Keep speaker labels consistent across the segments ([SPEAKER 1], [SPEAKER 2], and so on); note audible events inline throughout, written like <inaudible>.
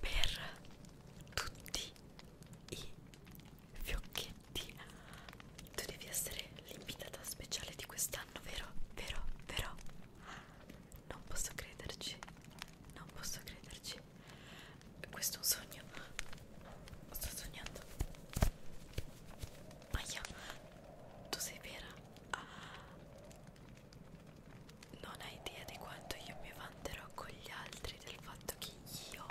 [SPEAKER 1] per tutti i fiocchetti tu devi essere l'invitata speciale di questa fanno, vero? Vero? Vero? Non posso crederci, non posso crederci. Questo è un sogno. Sto sognando. Maia, tu sei vera? Ah. Non hai idea di quanto io mi vanterò con gli altri del fatto che io,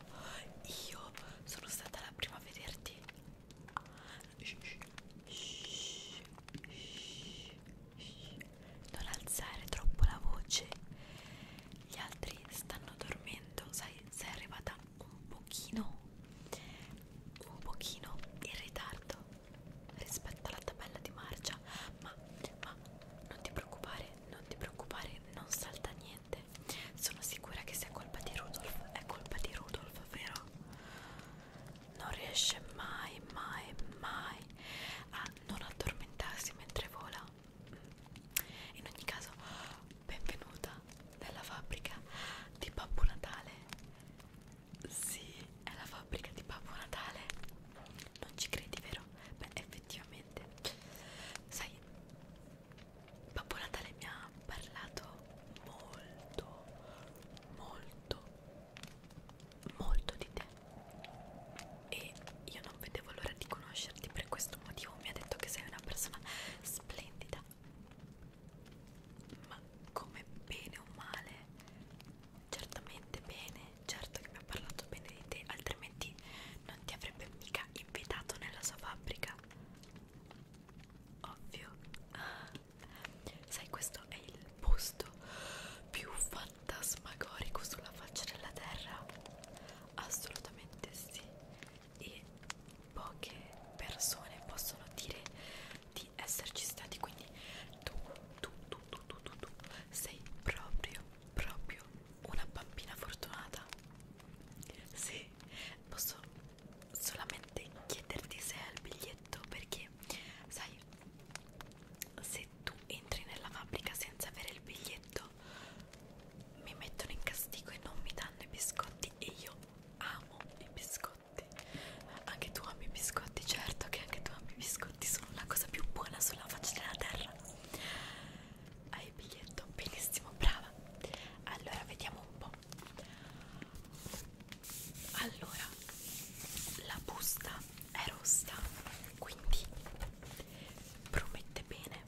[SPEAKER 1] io sono stata la prima a vederti non alzare troppo la voce, gli altri stanno dormendo, sai, sei arrivata un pochino, un pochino in ritardo rispetto alla tabella di marcia, ma, ma non ti preoccupare, non ti preoccupare, non salta niente. Sono sicura che sia colpa di Rudolf, è colpa di Rudolf, vero? non riesce mai mai mai a non addormentarsi mentre vola mm. in ogni caso benvenuta nella fabbrica di Babbo Natale sì è la fabbrica di Babbo Natale non ci credi vero? beh effettivamente sai Babbo Natale mi ha hanno parlato molto, molto, molto di te e io non vedevo l'ora di conoscerti per questo motivo, mi ha detto che sei una persona splendida, ma come bene o male, certamente bene, certo che mi ha parlato bene di te, altrimenti non ti avrebbe mica invitato nella sua fabbrica. Ovvio. Sai, questo è il posto più fantasmagorico sulla faccia della terra? Assolutamente sì. E poche persone possono dire di esserci stati, quindi tu, tu, tu, tu, tu, tu, tu sei proprio, proprio una bambina fortunata. Sì, posso solamente chiederti se hai il biglietto perché sai se tu entri nella fabbrica senza avere il biglietto mi mettono in castigo e non mi danno i biscotti e io amo i biscotti anche tu ami i biscotti certo che anche tu ami i biscotti sono la cosa più buona sulla faccia della terra hai il biglietto benissimo brava allora vediamo un po' allora la busta è rossa quindi promette bene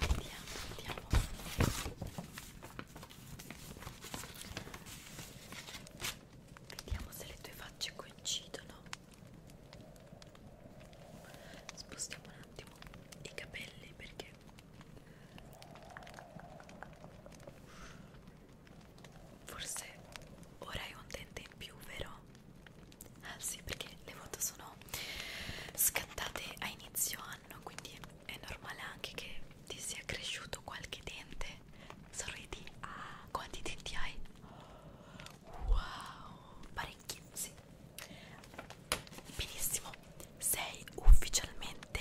[SPEAKER 1] vediamo vediamo vediamo se le tue facce coincidono spostiamo un attimo i capelli perché Forse ora hai un dente in più, vero? Ah sì, perché le foto sono scattate a inizio anno, quindi è normale anche che ti sia cresciuto qualche dente. Sorridi. Ah, quanti denti hai? Wow, parecchi, sì. Benissimo, sei ufficialmente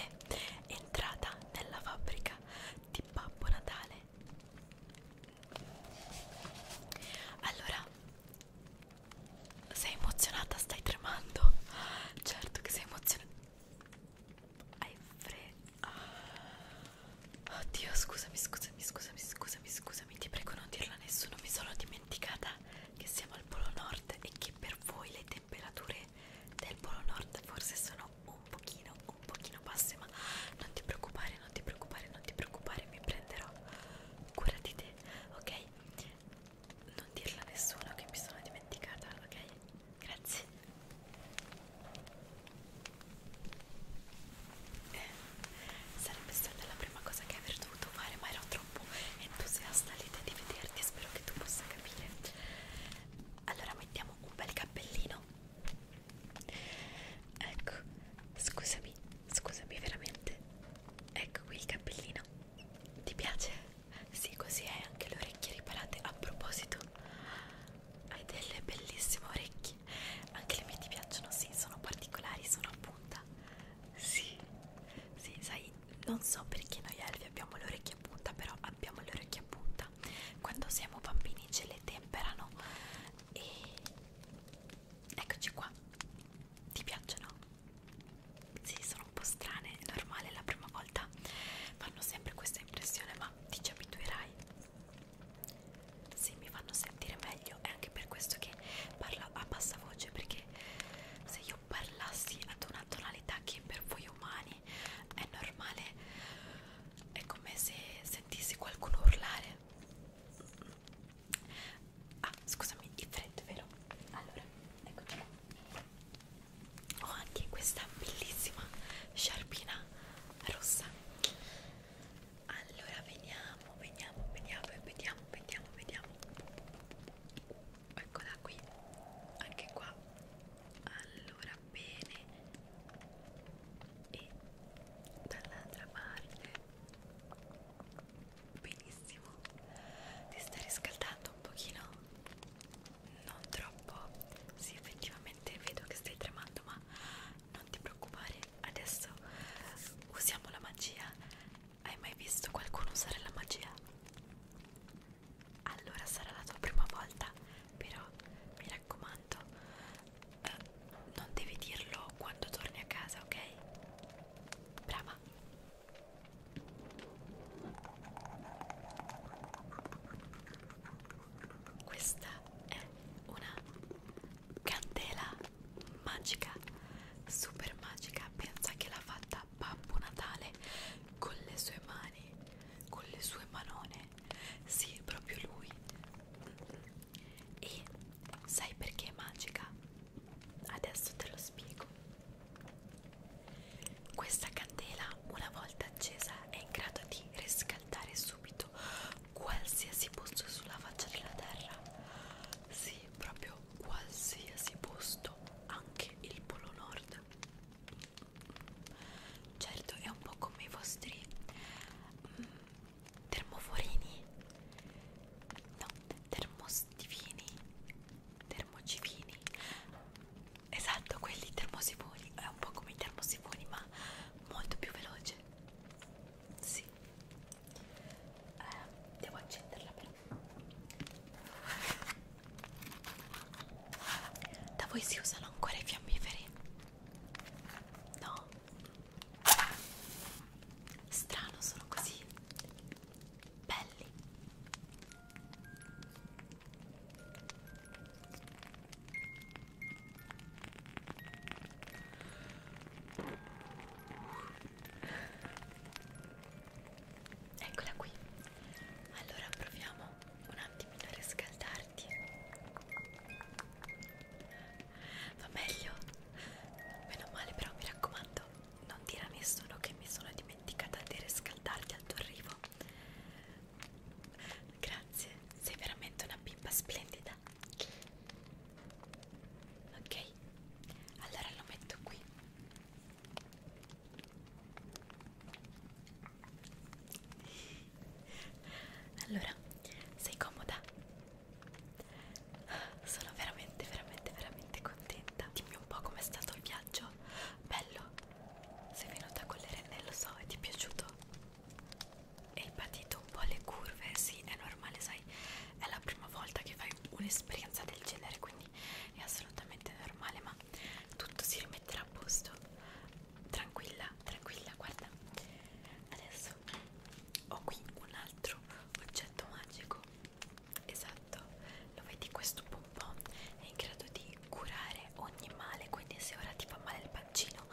[SPEAKER 1] entrata nella fabbrica di Babbo Natale. Allora, sei emozionata? Stai tremando? Certo che sei emozionata. Hai freddo. Ah, oddio, scusami, scusami, scusami, scusami, scusami. Ti prego non dirlo a nessuno. Mi sono dimenticata che siamo al Polo Nord e che per voi le temperature del polo nord forse sono un pochino un pochino basse ma non ti preoccupare non ti preoccupare non ti preoccupare mi prenderò cura di te ok non dirla a nessuno che mi sono dimenticata ok grazie eh, sarebbe stata la prima cosa che avrei dovuto fare ma ero troppo troppo entusiasta all'idea di vederti, spero che tu possa capire. Allora mettiamo un bel cappellino. Ecco, scusami, scusami veramente. Ecco qui il cappellino. Ti piace? Sì, così hai anche le orecchie riparate. A proposito, hai delle bellissime orecchie. Anche le mie ti piacciono, sì, sono particolari, sono a punta. Sì, sì, sai, non so perché noi elfi abbiamo le orecchie a punta, però abbiamo le orecchie a punta. Quando siamo bambini ce le temperano e eccoci qua. Ti piacciono? Sì, sono un po' strane, è normale la prima volta. Fanno sempre questa impressione, ma ti ci abituerai. Sì, mi fanno sentire meglio, è anche per questo che parlo a bassa voce, perché se io parlassi ad una tonalità che per voi umani è normale è come se sentissi qualcuno urlare ah scusami il freddo vero? allora eccoci qua ho anche questa bellissima sciarpina rossa allora veniamo veniamo veniamo vediamo vediamo vediamo eccola qui anche qua allora bene e dall'altra parte benissimo ti stai riscaldando un pochino non troppo sì effettivamente vedo che stai tremando ma non ti preoccupare adesso usiamo la magia hai mai visto qualcuno usare la magia? Allora sarà la tua prima volta, però mi raccomando, eh, non devi dirlo quando torni a casa, ok? Brava! Questa è una candela magica, super magica, pensa che l'ha fatta Babbo Natale con le sue mani, con le sue manone, sì, proprio lui. E sai perché è magica? Adesso te lo spiego. Questa candela, una volta accesa, è in grado di riscaldare subito qualsiasi posto sulla faccia della terra. Sì, proprio qualsiasi posto, anche il Polo Nord vita certo. certo è un po' come i vostri mm, termoforini no termostivini termocivini esatto quelli termosifoni è un po' come i termosifoni ma molto più veloce sì eh, devo accenderla per da voi si usano ancora i fiammiferi? No? Strano, sono così belli eccola qui allora proviamo un attimino a riscaldarti va meglio? meno male però mi raccomando non dire a nessuno che mi sono dimenticata di riscaldarti al tuo arrivo grazie sei veramente una bimba splendida ok allora lo metto qui allora, sei comoda? Sono veramente, veramente, veramente contenta. Dimmi un po' com'è stato il viaggio. Bello? Sei venuta con le renne, lo so, e ti è piaciuto? Hai patito un po' le curve? Sì, è normale, sai, è la prima volta che fai un'esperienza del genere, quindi anni è assolutamente normale ma tutto si rimetterà a posto tranquilla tranquilla guarda adesso ho qui un altro oggetto magico esatto lo vedi questo pompon è in grado di curare ogni male quindi se ora ti fa male il pancino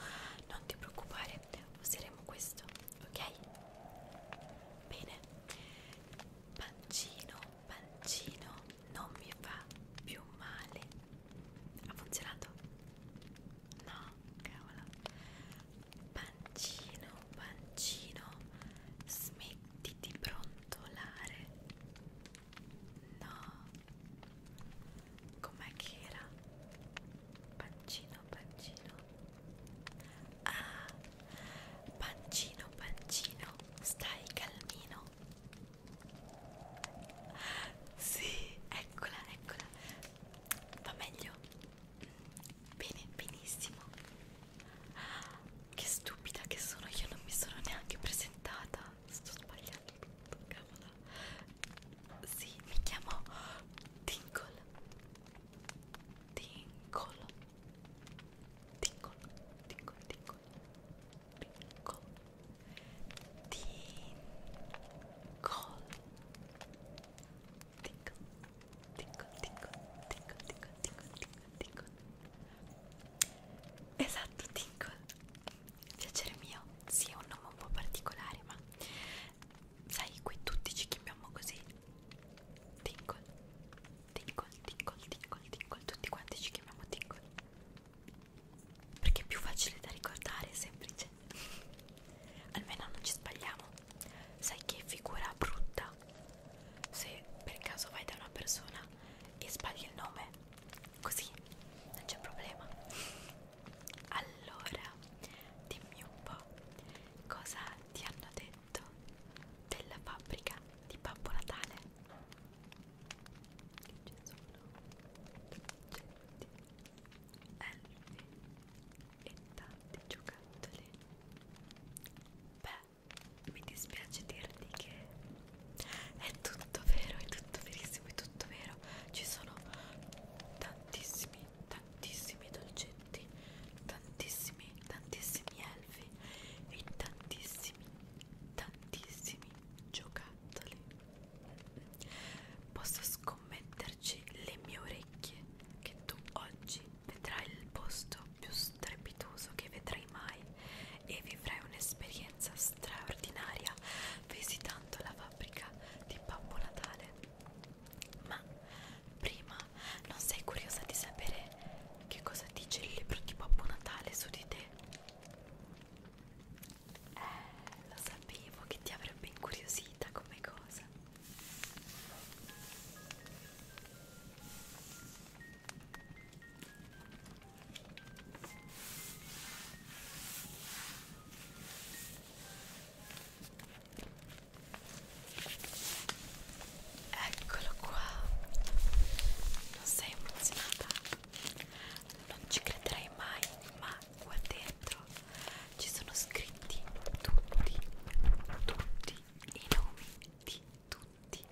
[SPEAKER 1] non ti preoccupare useremo questo ok bene pancino pancino non mi fa più male ha funzionato? no cavolo pancino pancino smetti di brontolare no com'è che era? pancino pancino ah Pancino, pancino, stai calmino. Sì, eccola, eccola. Va meglio? Bene, benissimo. Che stupida che sono, io non mi sono neanche presentata. Sto sbagliando tutto, cavolo. Sì, mi chiamo Tinkle. Tinkle. Tinkle, tinkle, tinkle, tinkle, tinkle, tinkle, tinkle, tinkle, tinkle, tinkle, tinkle, tinkle. Esatto, tinkle. Piacere mio, sì, è un nome un po' particolare, ma sai, qui tutti ci chiamiamo così. Tinkle, Tinkle, tinkle, tinkle, tinkle, tutti quanti ci chiamiamo tinkle perché è più facile da ricordare, è semplice cioè. almeno non ci sbagliamo sai che figura brutta se per caso vai da una persona e sbagli il nome così non c'è problema allora dimmi un po' cosa ti hanno detto oggetto della fabbrica di Babbo Natale che ci sono oggetti elfi e tanti giocattoli beh mi dispiace dirti che è tutto vero è tutto verissimo è tutto vero ci sono tantissimi tantissimi dolcetti tantissimi tantissimi selfie e tantissimi, tantissimi giocattoli. Posso scommetterci le mie orecchie che tu oggi vedrai il posto più strepitoso che vedrai mai e vivrai un'esperienza straordinaria visitando la fabbrica di Babbo Natale. Ma prima non sei curiosa di sapere che cosa dice il libro di Babbo Natale su di te? Eh, lo sapevo che ti avrebbe incuriosita come cosa. Eccolo qua. Non sei emozionata? Non ci crederai mai, ma qua dentro ci sono scritti tutti, tutti i nomi di tutti,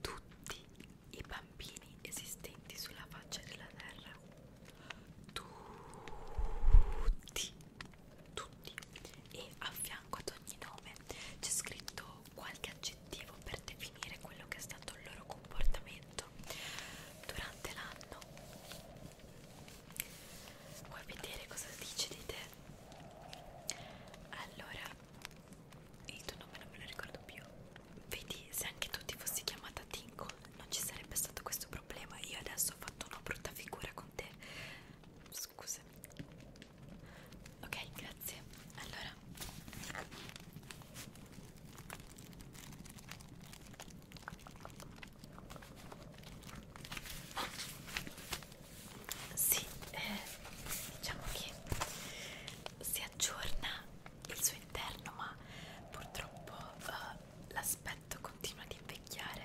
[SPEAKER 1] tutti i bambini esistenti sulla faccia della terra. Tutti, tutti. E a fianco ad ogni nome c'è scritto cercherò qualche aggettivo per definire quello che è stato il loro comportamento durante l'anno. Vuoi vedere cosa dice di te? Allora, il tuo nome non me lo ricordo più. Vedi, se anche tu ti fossi chiamata Tinkle non ci sarebbe stato questo problema. Io adesso ho fatto una brutta figura con te Scusami. Ok, grazie. Allora. Sì, eh, diciamo che si aggiorna il suo interno, ma purtroppo eh, l'aspetto continua ad invecchiare.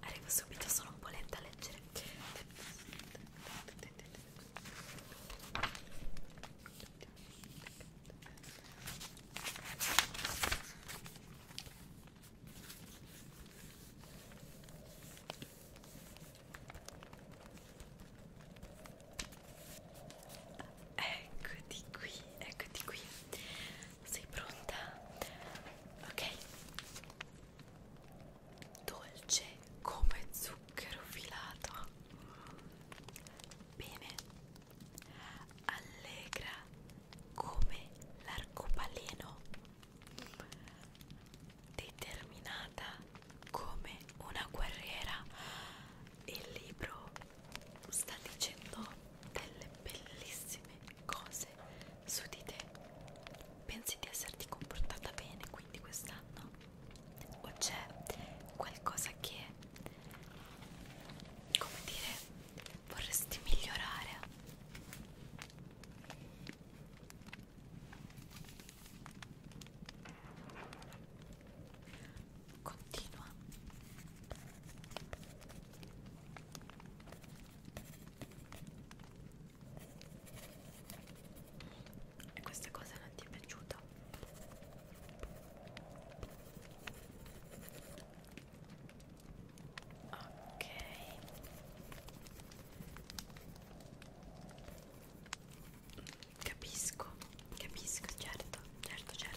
[SPEAKER 1] Arrivo subito, sono un po' lenta a leggere. Eccoti qui, eccoti qui. Sei pronta? Ok. Dolce come zucchero filato. Bene. Allegra come l'arcobaleno determinata come una guerriera. Il libro sta dicendo delle bellissime cose su di te. Pensi di esserti comportata bene quindi quest'anno? O c'è qualcosa che, come dire, vorresti migliorare? Continua. E questa cosa non ti è piaciuta? Ok. Capisco, capisco, certo, certo, certo.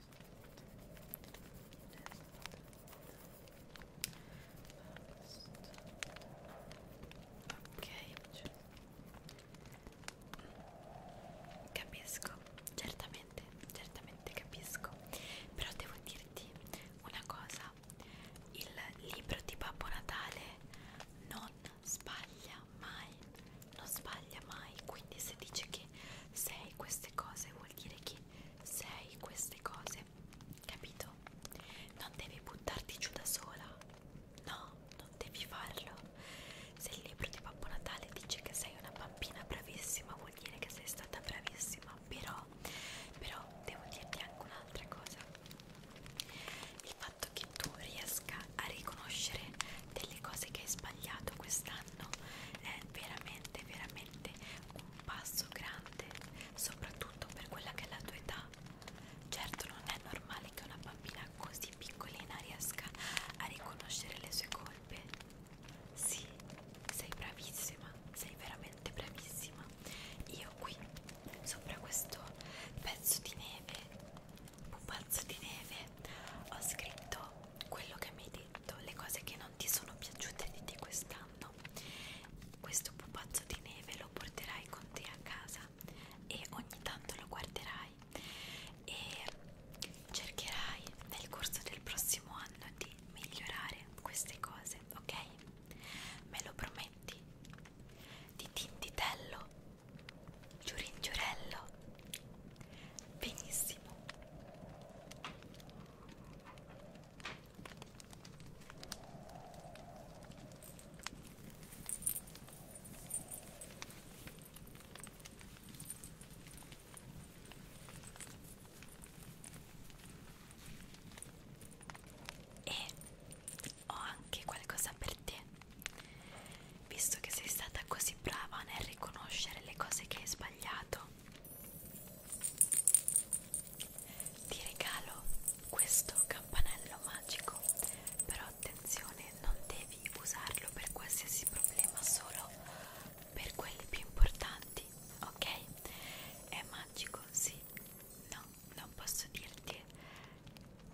[SPEAKER 1] Ok, capisco, certamente, certamente capisco, però devo dirti una cosa, il libro di Babbo Natale non sbaglia mai, non sbaglia mai, quindi se dice che sei queste cose vuol dire che sei queste cose, capito? Non devi buttarti giù da sola, no, non devi farlo. Se il libro di Babbo Natale dice che sei una bambina bravissima, vuol dire che sei stata bravissima, però, però devo dirti anche un'altra cosa. Il fatto che tu riesca a riconoscere delle cose che hai sbagliato quest'anno è veramente, veramente un passo grande, soprattutto per quella che è la tua età. Certo non è normale che una bambina così piccolina riesca a riconoscere le sue colpe. Sì, sei bravissima, sei veramente bravissima. Io qui, sopra questo pezzo di neve, pupazzo di neve, ho scritto quello che mi hai detto, le cose che non ti sono piaciute di te quest'anno. Questo pupazzo di neve lo porterai con te a casa e ogni tanto lo guarderai e cercherai nel corso del prossimo anno di migliorare queste cose, ok? Me lo prometti? Di tintitello, giuringiurello, benissimo. E ho anche qualcosa per te, visto che sei stata così brava nel riconoscere le cose che hai sbagliato ti regalo questo campanello magico, però attenzione, non devi usarlo per qualsiasi problema, solo per quelli più importanti, ok? È magico, sì. No, non posso dirti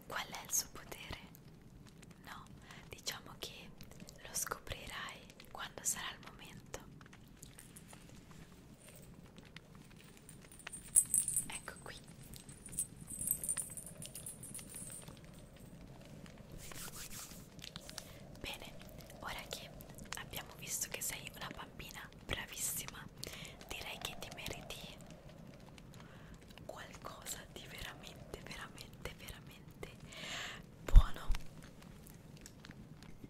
[SPEAKER 1] qual è il suo potere. No, diciamo che lo scoprirai quando sarà il momento, Ecco qui. Bene, ora che abbiamo visto che sei una bambina bravissima, direi che ti meriti qualcosa di veramente, veramente, veramente buono Dimmi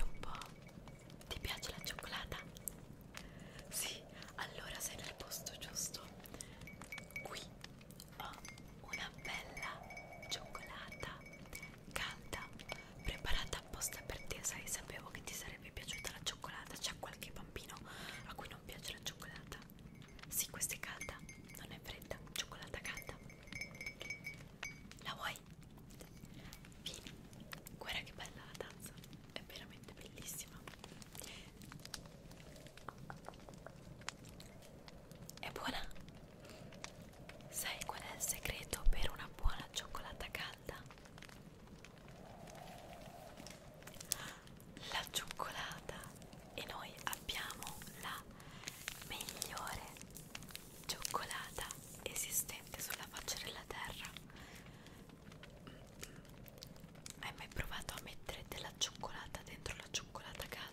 [SPEAKER 1] un po', ti piace la cioccolata? Sì, allora sei nel posto giusto. Qui ho una bella cioccolata calda preparata apposta per te sai sapevo che ti sarebbe piaciuta la cioccolata c'è qualche bambino a cui non piace la cioccolata sì questa è calda non è fredda cioccolata calda la vuoi? vieni guarda che bella la tazza è veramente bellissima è buona? Sai qual è il segreto per una buona cioccolata calda? La cioccolata e noi abbiamo la migliore cioccolata esistente sulla faccia della terra. Hai mai provato a mettere della cioccolata dentro la cioccolata calda?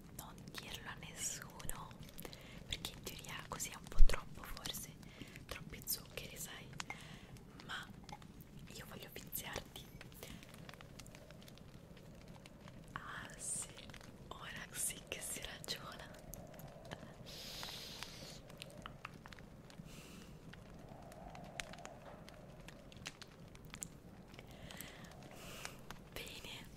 [SPEAKER 1] non dirlo a nessuno perché in teoria così è un po' troppo forse troppi zuccheri sai ma io voglio viziarti ah sì ora sì che si ragiona Bene,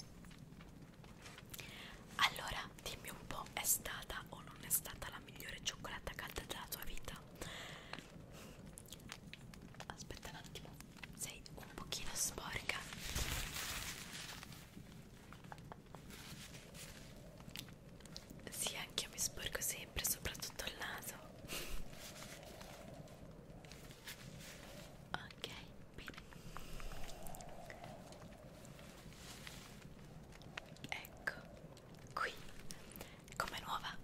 [SPEAKER 1] allora, dimmi un po', è stata o non è stata la migliore cioccolata calda della tua vita? Aspetta un attimo, sei un pochino sporca. Sì, anche io mi sporco sempre, soprattutto il naso. Ok, bene. Ecco, qui, come nuova.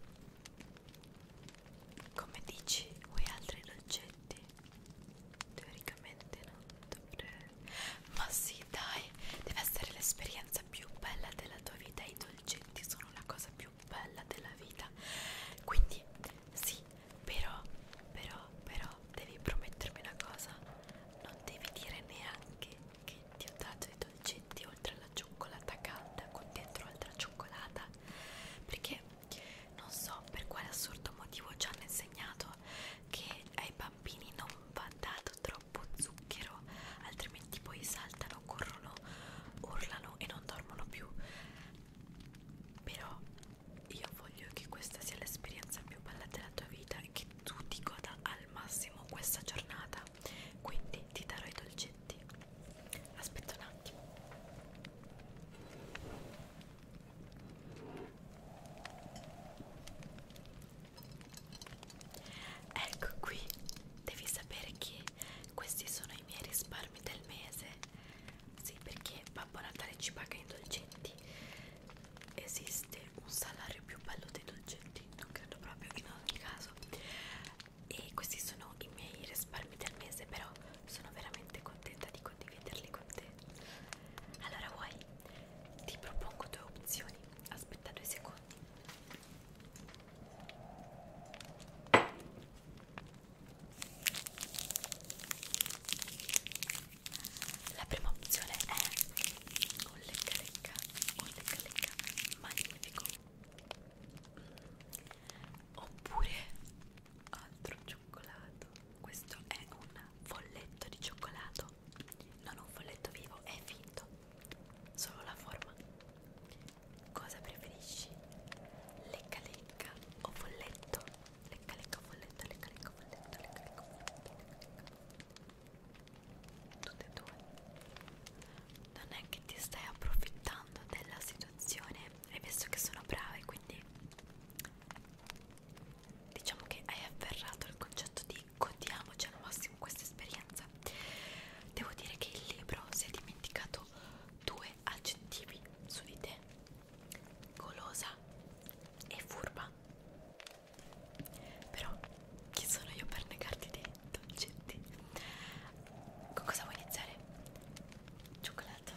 [SPEAKER 1] Come dici, vuoi altri dolcetti? Teoricamente non dovrei... Ma sì, dai, deve essere l'esperienza più bella della tua vita. I dolcetti sono la cosa più bella della vita. Quindi, sì, però, però, però devi promettermi una cosa, non devi dire neanche che ti ho dato i dolcetti oltre alla cioccolata calda con dentro altra cioccolata, perché non so per quale assurdo motivo ci hanno insegnato che ai bambini non va dato troppo zucchero, altrimenti poi saltano, corrono, urlano e non dormono più. Però io voglio che questa sia l'esperienza più bella della tua vita e che tu ti goda al massimo questa giornata quindi ti darò i dolcetti aspetta un attimo ecco qui devi sapere che questi sono i miei risparmi del mese sì, perché Babbo Natale ci paga i dolcetti. Esiste un salario più bello dei dolcetti, non credo proprio in ogni caso. E questi sono i miei risparmi del mese, però sono veramente contenta di condividerli con te. Allora vuoi? Ti propongo due opzioni. Aspetta due secondi. La prima opzione è un lecca lecca, un lecca lecca magnifico. Oppure altro cioccolato. Questo è un folletto di cioccolato, non un folletto vivo, è finto. Solo la forma. Cosa preferisci? Lecca lecca o folletto? Lecca, lecca, folletta, lecca, lecca, folletta, lecca, lecca, folletta, lecca. Tutte e due. Non è che ti stai approfittando della situazione, hai visto che sono brava e quindi diciamo che hai afferrato il concetto di godiamoci al massimo questa esperienza. Devo dire che il libro si è dimenticato due aggettivi su di te golosa e furba però chi sono io per negarti dei dolcetti con cosa vuoi iniziare? cioccolato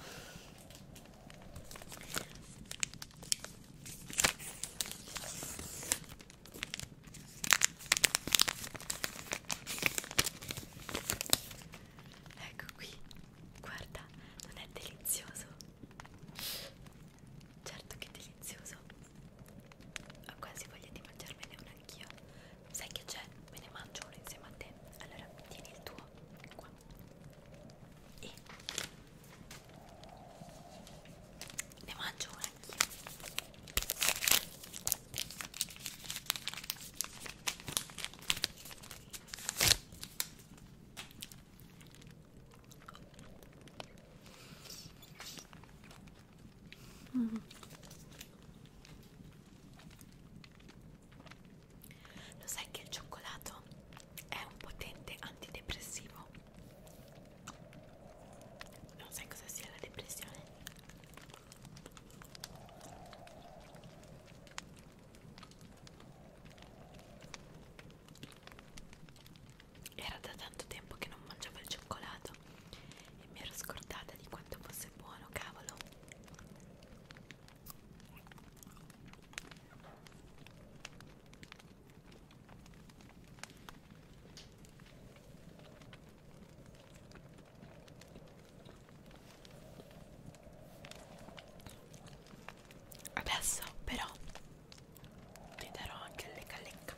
[SPEAKER 1] ecco qui guarda non è delizioso Certo che delizioso. Ho quasi voglia di mangiarmene uno anch'io. Sai che c'è? Me ne mangio uno insieme a te. Allora, tieni il tuo qua. E ne mangio uno anch'io. Mm. Lo sai che il cioccolato è un potente antidepressivo? Non sai cosa sia la depressione? Era da tanto tempo che non mangiavo il cioccolato e mi ero scordata di quanto fosse buono, cavolo. Adesso però ti darò anche le lecca, lecca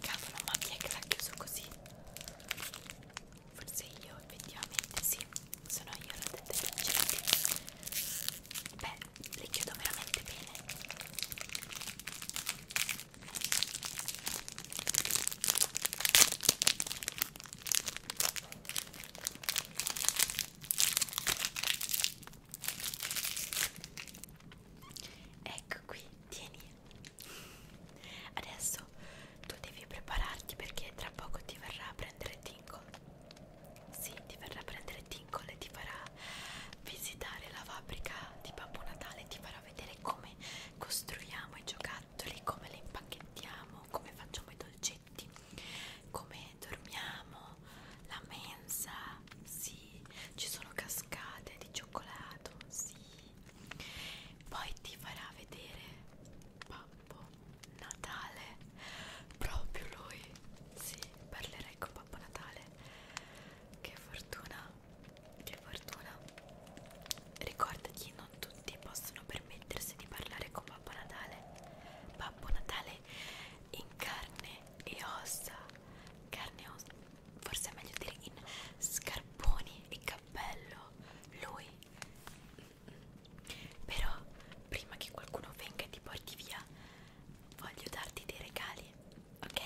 [SPEAKER 1] Cavolo, ma chi è che l'ha chiuso così? Forse io, effettivamente, sì, sono io la detergente. Beh, le chiudo veramente bene. Ecco qui, tieni. Adesso tu devi prepararti perché tra poco ti verrà a prendere Tinkle. Sì, ti verrà a prendere Tinkle e ti farà visitare la fabbrica di Babbo Natale, ti farà vedere come costruiamo i giocattoli, come li impacchettiamo, come facciamo i dolcetti, come dormiamo, la mensa, sì, ci sono cascate di cioccolato, sì. Poi ti farà vedere Babbo Natale, proprio lui, sì, parlerai con Babbo Natale. Che fortuna, che fortuna. Ricordati, non tutti possono permettersi di parlare con Babbo Natale. Babbo Natale in carne e ossa, carne e ossa, forse è meglio dire in scarponi e cappello, lui. Però prima che qualcuno venga e ti porti via, voglio darti dei regali, ok?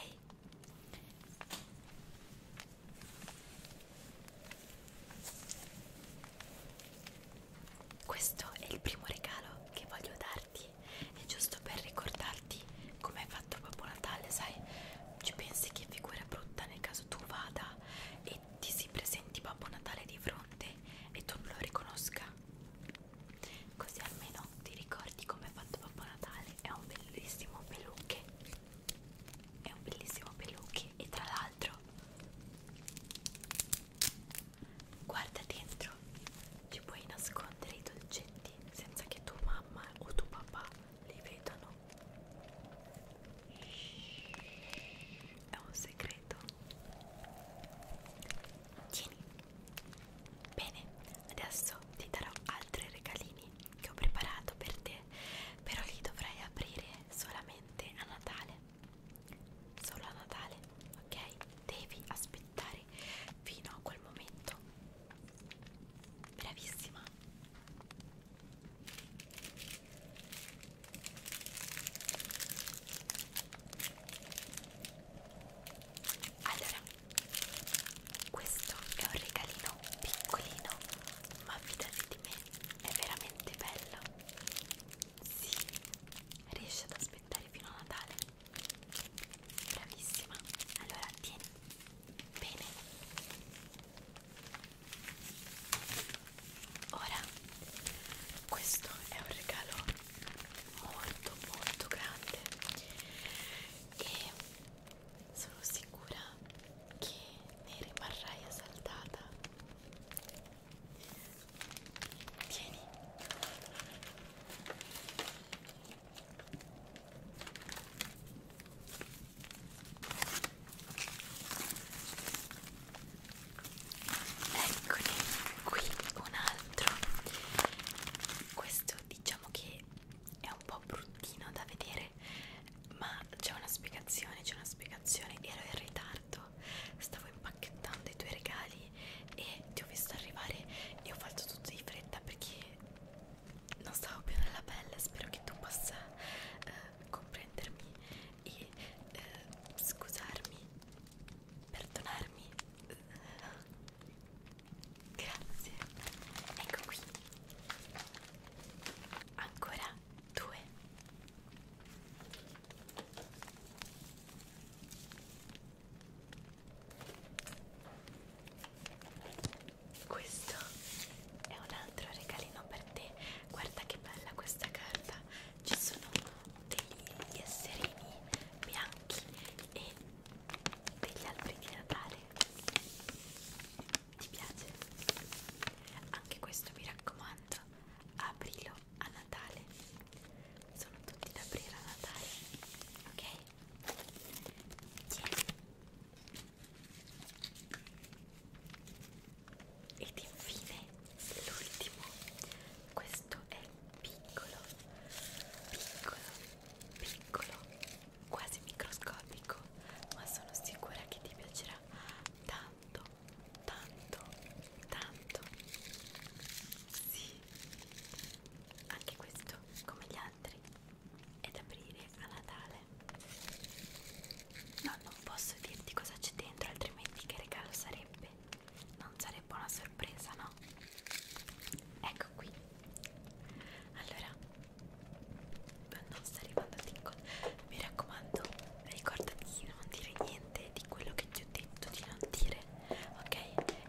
[SPEAKER 1] Questo è il primo regalo che voglio darti. Natali è giusto per ricordarti com'è fatto Babbo Natale, sai? Ci pensi che figura brutta nel caso tu vada e ti si presenti Babbo Natale di fronte e tu non lo riconosca? Così almeno ti ricordi com'è fatto Babbo Natale, è un bellissimo peluche, è un bellissimo peluche e tra l'altro Guarda dentro, ci puoi nascondere i dolcetti senza che tua mamma o tuo papà li vedano. È un segreto. Tieni. Bene, adesso ti darò altri regalini che ho preparato per te, però li dovrai aprire solamente a Natale solo a Natale, ok? Devi aspettare fino a quel momento. Bravissima. Allora, questo è un regalino piccolino, ma fidati di me, è veramente bello. Sì, riesci ad aspettare fino a Natale? Bravissima. Allora tieni bene. Ora questo è un regalo molto molto grande e sono sicura che ne rimarrai esaltata Tieni. Eccoli, qui un altro. Questo diciamo che è un po' bruttino da vedere, ma c'è una spiegazione, c'è una spiegazione. Ero in ritardo io stavo impacchettando i tuoi regali e ti ho visto arrivare e ho fatto tutto di fretta perché non stavo più nella pelle spero che tu possa eh, comprendermi e eh, scusarmi perdonarmi grazie ecco qui ancora due questo è un altro regalino per te. Guarda che bella questa carta. Ci sono degli esserini bianchi e degli alberi di Natale. Ti piace? Anche questo mi raccomando aprirlo a Natale sono tutti da aprire a Natale ok? Yeah. Ed infine l'ultimo, questo è piccolo, piccolo, piccolo, quasi microscopico, ma sono sicura che ti piacerà tanto, tanto, tanto sì anche questo come gli altri è da aprire a Natale no non posso dirti cosa c'è dentro altrimenti che regalo sarebbe non sarebbe una sorpresa no ecco qui allora non sta arrivando a tingol mi raccomando ricordati di non dire niente di quello che ti ho detto di non dire ok?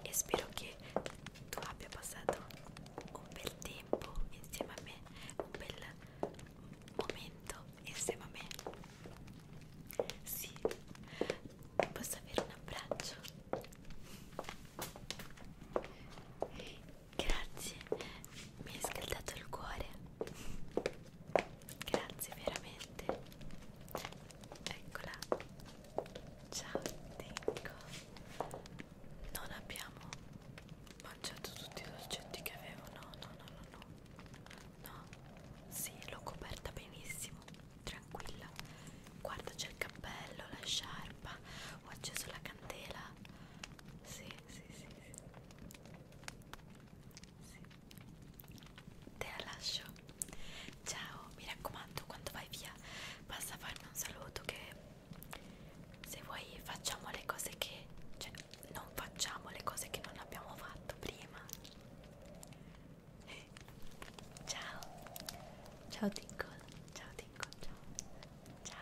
[SPEAKER 1] E spero che tu abbia passato un bel tempo insieme a me, un bel momento insieme a me. Sì, posso avere un abbraccio? Grazie, mi hai scaldato il cuore grazie veramente eccola ciao Tinko non abbiamo mangiato tutti i dolcetti che avevo no no no no no no sì l'ho coperta benissimo tranquilla guarda c'è il cappello la sciarpa ho acceso la candela sì sì sì, sì. Sì. Te la lascio. Ciao, mi raccomando, quando vai via basta farmi un saluto che se vuoi facciamo le cose che cioè non facciamo le cose che non abbiamo fatto prima. <laughs> Ciao. Ciao Tinkle. Ciao Tinkle. Ciao. Ciao.